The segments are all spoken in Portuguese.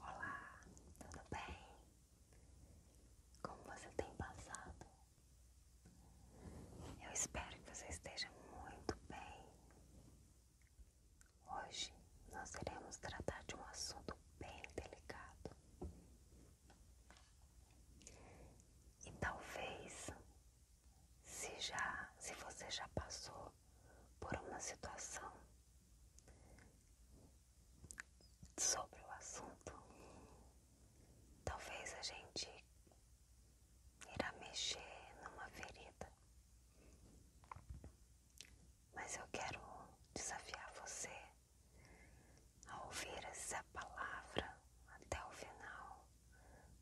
Olá, tudo bem? Como você tem passado? Eu espero que você esteja muito bem. Hoje nós iremos tratar de um assunto bem delicado e talvez, se já, se você já passou por uma situação sobre o assunto, talvez a gente irá mexer numa ferida. Mas eu quero desafiar você a ouvir essa palavra até o final,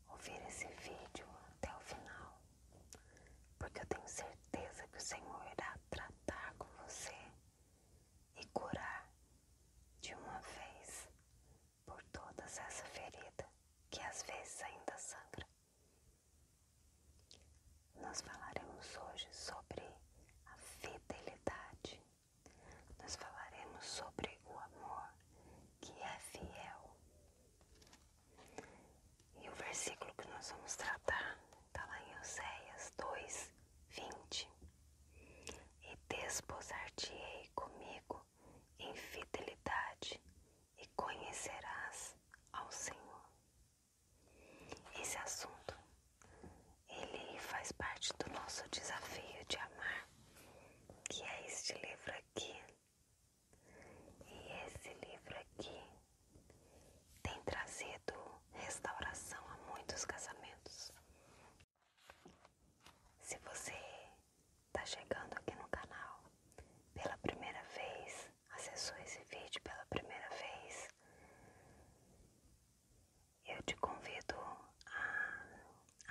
ouvir esse vídeo até o final porque eu tenho certeza que o Senhor irá tratar com você e curar de uma vez por todas essa ferida que às vezes ainda sangra. Nós falaremos hoje sobre a fidelidade, nós falaremos sobre o amor que é fiel. E o versículo que nós vamos tratar está lá em Oséias 2, 20. E desposar-te-ei comigo em fidelidade e conhecerás ao Senhor. Esse assunto, ele faz parte do nosso desafio de amar, que é este livro aqui e esse livro aqui tem trazido restauração a muitos casamentos. Se você está chegando aqui no canal pela primeira vez, acessou esse vídeo pela primeira vez, eu te convido a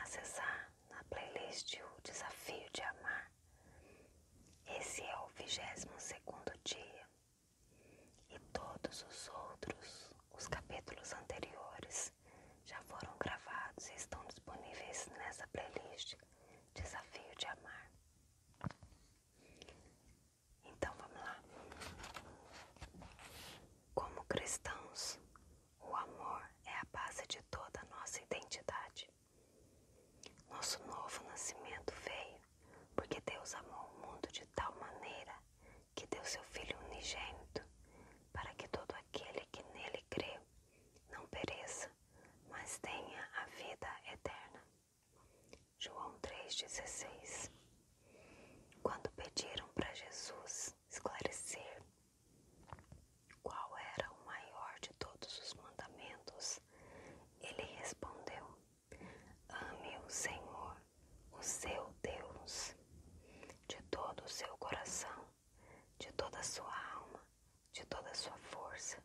acessar na playlist O Desafio de Amar. Esse é o vigésimo segundo dia, e todos os outros, os capítulos anteriores, já foram gravados e estão disponíveis nessa playlist Desafio de Amar. Então vamos lá. Como cristãos, o amor é a base de toda a nossa identidade. Nosso novo nascimento veio porque Deus amou o mundo de tal maneira que deu seu Filho unigênito, para que todo aquele que nele crê não pereça, mas tenha a vida eterna. João 3,16 Quando pediram para Jesus esclarecer qual era o maior de todos os mandamentos? Ele respondeu: Ame o Senhor, o seu Deus, de todo o seu coração, de toda a sua alma, de toda a sua força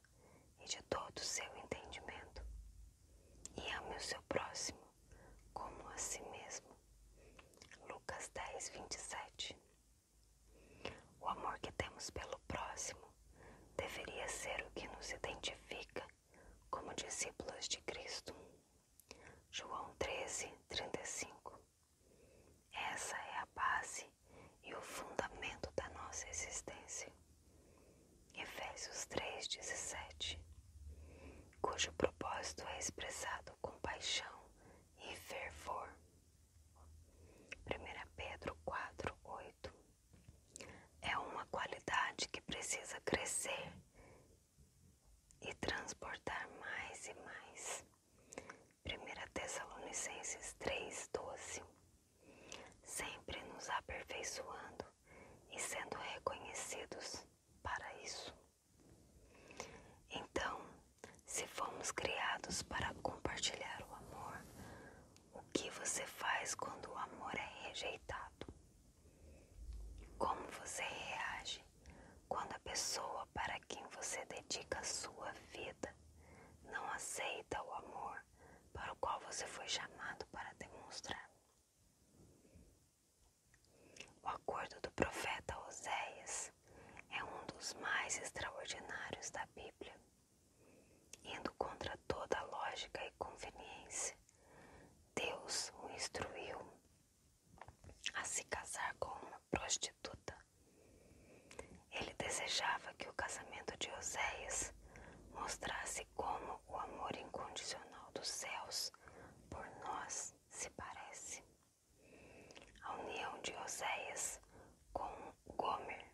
e de todo o seu entendimento. E ame o seu próximo como a si mesmo. Lucas 10, 27 o amor que temos pelo próximo deveria ser o que nos identifica como discípulos de Cristo. João 13, 35. Essa é a base e o fundamento da nossa existência. Efésios 3, 17. Cujo propósito é expressado com paixão e fervor. 1 Pedro 4, 8 é uma qualidade que precisa crescer e transportar mais e mais. 1 Tessalonicenses 3, 12 sempre nos aperfeiçoando e sendo reconhecidos para isso. Então, se fomos criados para compartilhar o amor, o que você faz quando o amor é rejeitado? Como você reage quando a pessoa para quem você dedica sua vida não aceita o amor para o qual você foi chamado para demonstrar? O acordo do profeta Oséias é um dos mais extraordinários da Bíblia, indo contra toda a lógica e conveniência. Deus o instruiu a se casar com uma prostituta. Ele desejava que o casamento de Oséias mostrasse como o amor incondicional dos céus por nós se parece. A união de Oséias com Gomer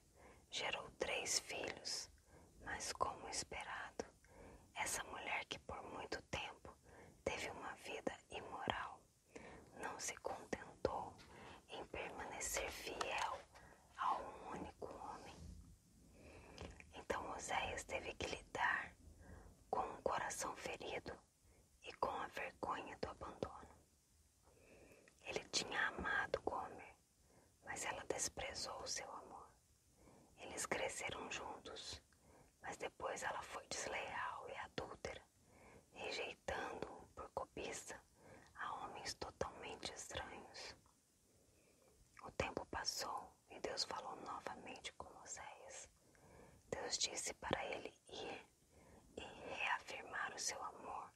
gerou três filhos, mas como esperado, essa mulher que por muito tempo teve uma vida imoral não se contentou em permanecer fiel a um único homem. Então Oséias teve que lidar com um coração ferido e com a vergonha do abandono. Ele tinha amado Gomer, mas ela desprezou o seu amor. Eles cresceram juntos, mas depois ela foi desleal e adúltera, rejeitando-o por cobiça a homens totalmente estranhos. O tempo passou e Deus falou novamente com Moisés. Deus disse para ele ele e, e reafirmar o seu amor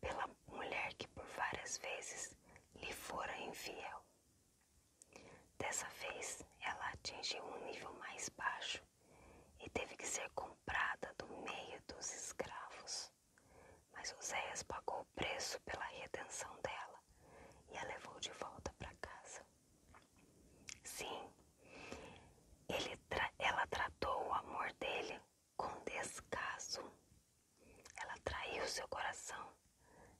pela mulher que por várias vezes lhe fora infiel. Dessa vez, ela atingiu um nível mais baixo e teve que ser comprada do meio dos escravos. Mas Oséias pagou o preço pela redenção dela e a levou de volta para casa. Sim, ele ela tratou o amor dele com descaso. Ela traiu seu coração,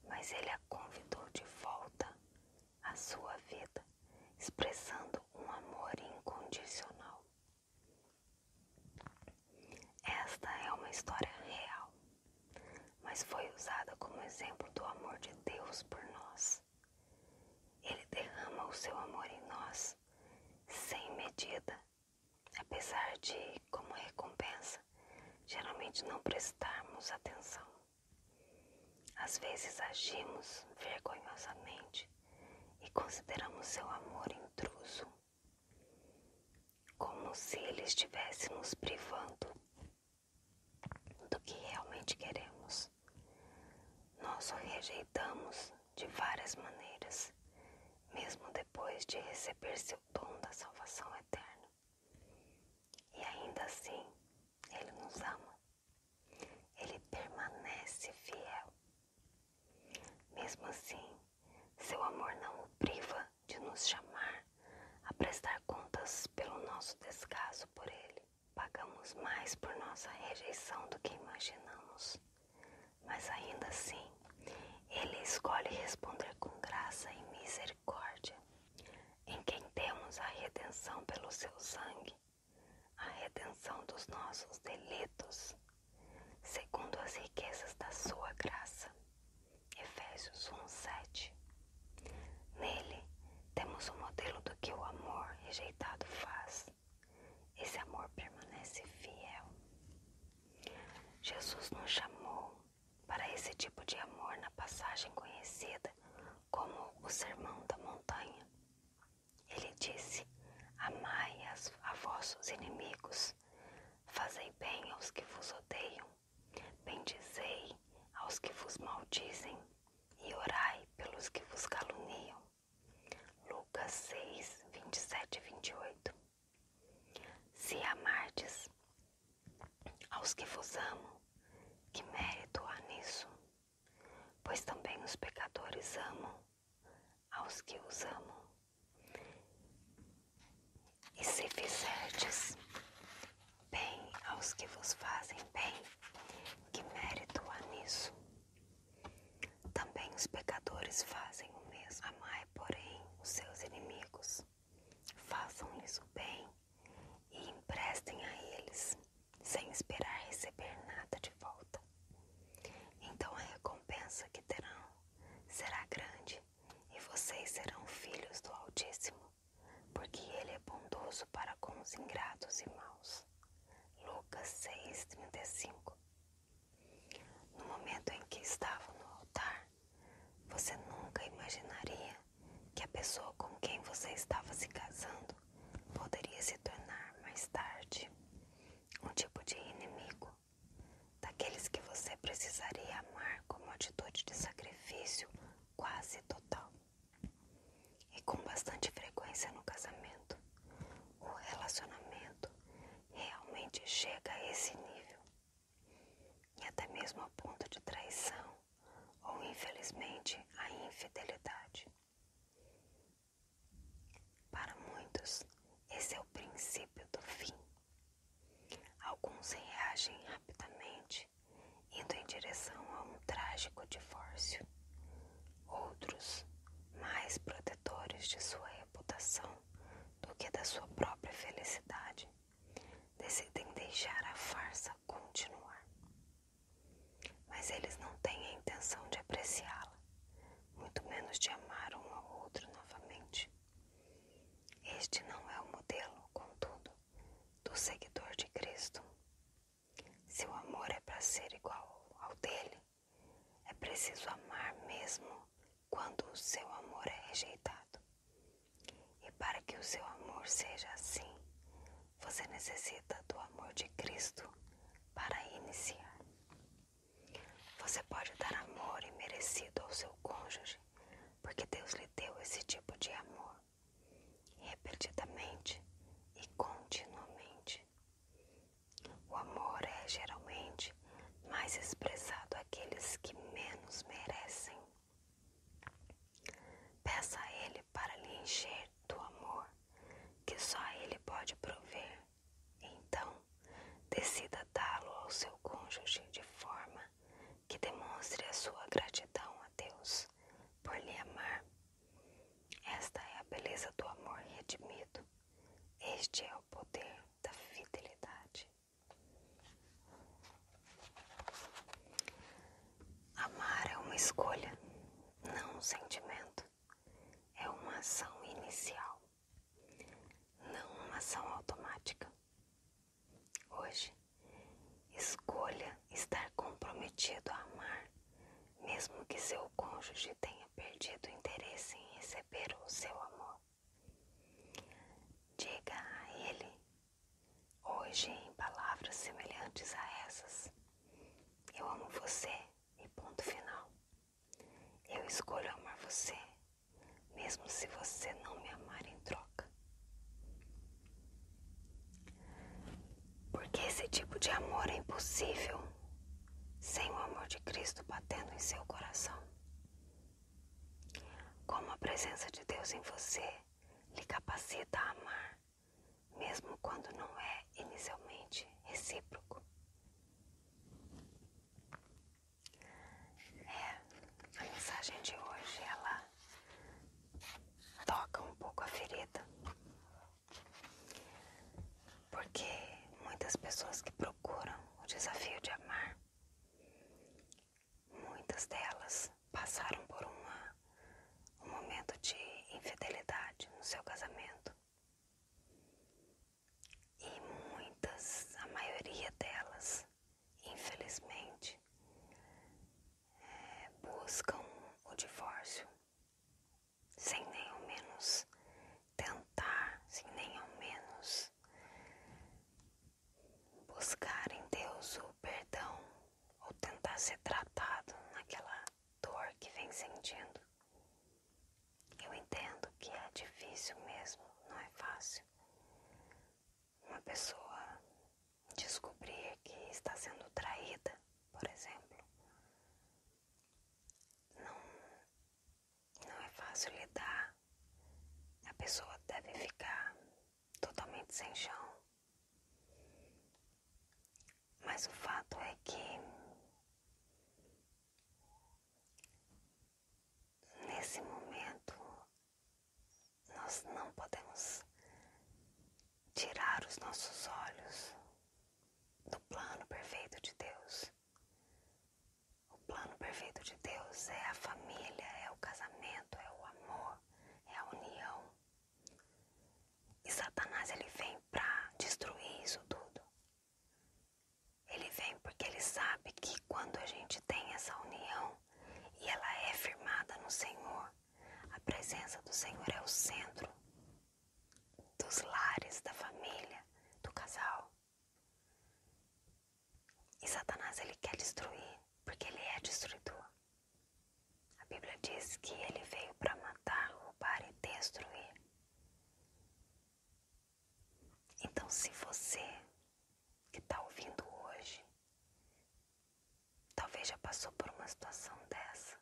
mas ele a convidou de volta à sua vida, expressando um amor incondicional. Esta é uma história real, mas foi usada como exemplo do amor de Deus por nós. Ele derrama o seu amor em nós sem medida, apesar de, como recompensa, geralmente não prestarmos atenção. Às vezes agimos vergonhosamente e consideramos seu amor intruso, como se ele estivesse nos privando do que realmente queremos. Nós o rejeitamos de várias maneiras, mesmo depois de receber seu dom da salvação eterna. E ainda assim, Ele nos ama. Ele permanece fiel. Mesmo assim, seu amor não o priva de nos chamar a prestar contas pelo nosso descaso por Ele. Pagamos mais por nossa rejeição do que imaginamos, mas ainda assim, Ele escolhe responder com graça e misericórdia. Em quem temos a redenção pelo seu sangue, a redenção dos nossos delitos, segundo as riquezas da sua graça. Efésios 1, 7. Nele, temos o um modelo do que o amor rejeitado faz. Esse amor permanece fiel. Jesus nos chamou para esse tipo de amor na passagem conhecida como o Sermão da Montanha. Ele disse: Amai as, a vossos inimigos, fazei bem aos que vos odeiam, bendizei aos que vos maldizem e orai pelos que vos caluniam. Lucas 6, 27 e 28. Se amardes aos que vos amam, que mérito há nisso? Pois também os pecadores amam aos que os amam. E se fizerdes bem aos que vos fazem bem. Que mérito há nisso? Também os pecadores fazem o mesmo. Amai, porém, os seus inimigos. Façam-lhes o bem e emprestem a eles, sem esperar receber nada de volta. Então a recompensa que terão será grande e vocês serão filhos do Altíssimo porque ele é bondoso para com os ingratos e maus. Lucas 6,35 No momento em que estava no altar, você nunca imaginaria que a pessoa com quem você estava se casando poderia se tornar mais tarde um tipo de inimigo, daqueles que você precisaria amar como atitude de sacrifício quase total. E com bastante frequência no casamento, o relacionamento realmente chega a esse nível. E até mesmo ao ponto de traição ou, infelizmente, a infidelidade. Para muitos, esse é o princípio do fim. Alguns reagem rapidamente indo em direção a um trágico divórcio. Outros, mais protetores de sua reputação do que da sua própria felicidade, decidem deixar a farsa continuar. Mas eles não têm a intenção de apreciá-la, muito menos de amar um ao outro novamente. Este não é o modelo, contudo, do seguidor de Cristo. Se o amor é para ser igual ao dele, é preciso amar mesmo quando o seu amor é rejeitado. E para que o seu amor seja assim, você necessita do amor de Cristo para iniciar. Você pode dar amor imerecido ao seu cônjuge porque Deus lhe deu esse tipo de amor, repetidamente e continuamente. O amor é geralmente mais expressado àqueles que menos merecem. Peça a Ele para lhe encher do amor que só Ele pode prover. Então, decida dá-lo ao seu cônjuge de forma que demonstre a sua gratidão a Deus por lhe amar. Esta é a beleza do amor redimido. Este é o poder da fidelidade. Amar é uma escolha, não um sentimento. É uma ação inicial, não uma ação automática. Hoje, escolha estar comprometido a amar, mesmo que seu cônjuge tenha perdido o interesse em receber o seu amor. Diga a ele, hoje, em palavras semelhantes a essas: Eu amo você, e ponto final. Eu escolho amar você mesmo se você não me amar em troca. Porque esse tipo de amor é impossível sem o amor de Cristo batendo em seu coração. Como a presença de Deus em você lhe capacita a amar, mesmo quando não é inicialmente recíproco. É, a mensagem de hoje ela toca um pouco a ferida, porque muitas pessoas que procuram o desafio de amar, muitas delas passaram por um momento de infidelidade no seu casamento. E muitas, a maioria delas, infelizmente, eh, buscam o divórcio sem nem ao menos tentar, sem nem ao menos buscar em Deus o perdão ou tentar ser tratado naquela dor que vem sentindo. Eu entendo que é difícil mesmo, não é fácil uma pessoa descobrir que está sendo traída, por exemplo, não, não é fácil lidar. A pessoa deve ficar totalmente sem chão. Mas o fato é que nesse momento, nós não podemos tirar os nossos olhos do plano perfeito de Deus. O plano perfeito de Deus é a família, é o casamento, é o amor, é a união. E Satanás ele vem para destruir isso tudo. Ele vem porque ele sabe que quando a gente tem essa união e ela é firmada no Senhor, a presença do Senhor é o centro dos lares, da família, do casal. E Satanás ele quer destruir, porque ele é destruidor. A Bíblia diz que ele veio para matar, roubar e destruir. Então, se você que está ouvindo hoje, talvez já passou por uma situação dessa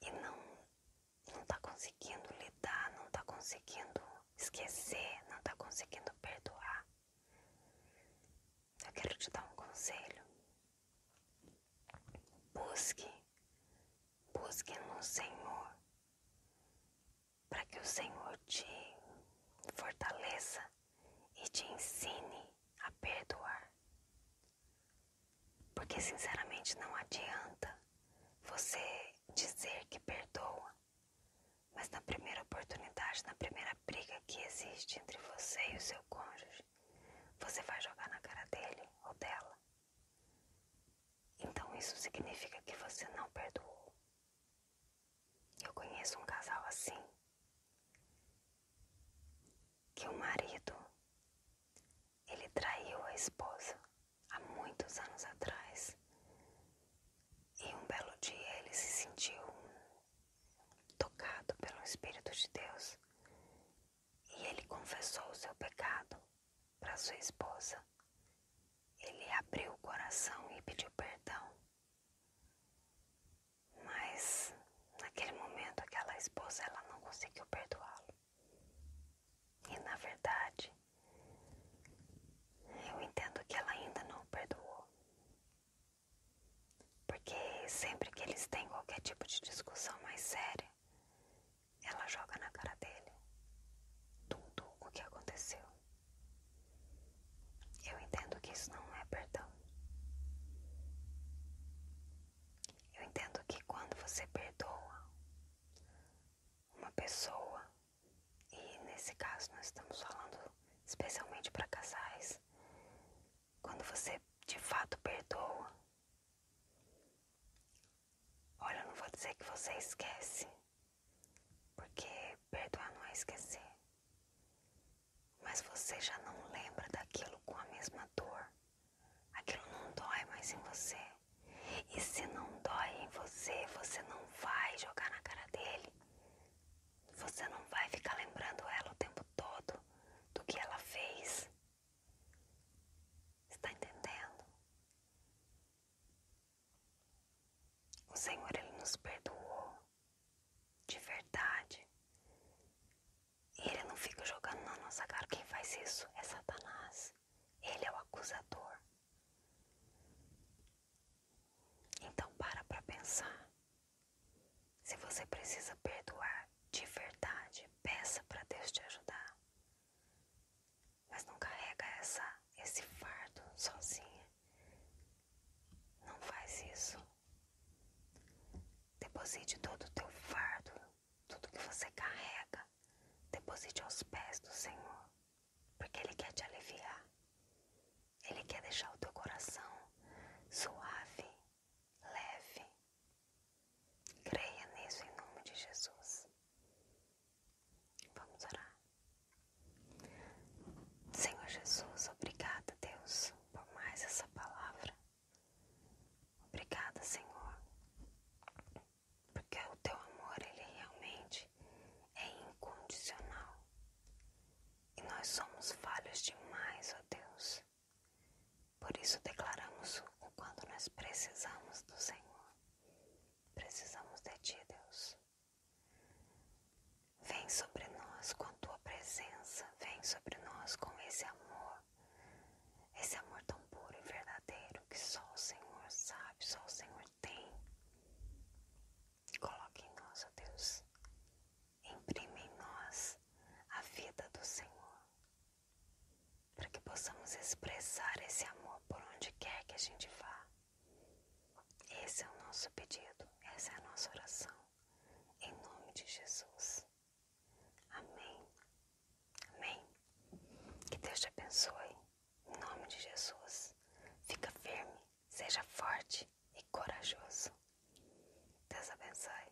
e não não está conseguindo lidar, não está conseguindo esquecer, não está conseguindo perdoar, eu quero te dar um conselho. Busque, busque no Senhor para que o Senhor te fortaleça e te ensine a perdoar. Porque, sinceramente, não adianta você dizer que perdoa, mas na primeira oportunidade, na primeira briga que existe entre você e o seu cônjuge, você vai jogar na cara dele ou dela então isso significa que você não perdoou. Eu conheço um casal assim. Que o marido ele traiu a esposa há muitos anos atrás. E um belo dia ele se sentiu tocado pelo Espírito de Deus e ele confessou o seu pecado para sua esposa. Ele abriu o coração e pediu perdão. Mas naquele momento aquela esposa ela não conseguiu perdoá-lo. E na verdade, eu entendo que ela ainda não perdoou. Porque sempre que eles têm qualquer tipo de discussão mais séria, ela joga na cara dele tudo o que aconteceu. Eu entendo que isso não é perdão. Eu entendo que quando você perdoa uma pessoa, e nesse caso nós estamos falando especialmente para casais, quando você de fato perdoa, Olha, eu não vou dizer que você esquece, porque perdoar não é esquecer. Mas você já não lembra daquilo com a mesma dor. Aquilo não dói mais em você. E se não dói em você, você não vai jogar na cara dele. Você não vai ficar lembrando ela o tempo todo do que ela fez, Está entendendo? O Senhor ele nos perdoou de verdade. E ele não fica jogando na nossa cara. Quem faz isso é Satanás. Ele é o acusador. Então para para pensar. Se você precisa perdoar de verdade, peça para Deus te ajudar mas não carrega essa, esse fardo sozinha. Não faz isso. Deposite todo o teu fardo, tudo que você carrega, deposite aos pés do Senhor, porque Ele quer te aliviar. Ele quer deixar o teu coração suave, leve. Creia nisso em nome de Jesus. Vamos orar. Senhor Jesus, obrigada, Deus, por mais essa palavra. Obrigada, Senhor, porque o teu amor, ele realmente é incondicional. E nós somos falhos demais, ó Deus. Por isso declaramos o quanto nós precisamos do Senhor. Precisamos de Ti, Deus. Vem sobre nós com a Tua presença, vem sobre nós com esse amor, esse amor tão puro e verdadeiro que só o Senhor sabe, só o Senhor tem. Coloque em nós, ó Deus. Imprime em nós a vida do Senhor para que possamos expressar esse amor por onde quer que a gente vá. Esse é o nosso pedido, essa é a nossa oração, em nome de Jesus. Amém. Amém. Que Deus te abençoe, em nome de Jesus. Fica firme, seja forte e corajoso. Deus abençoe.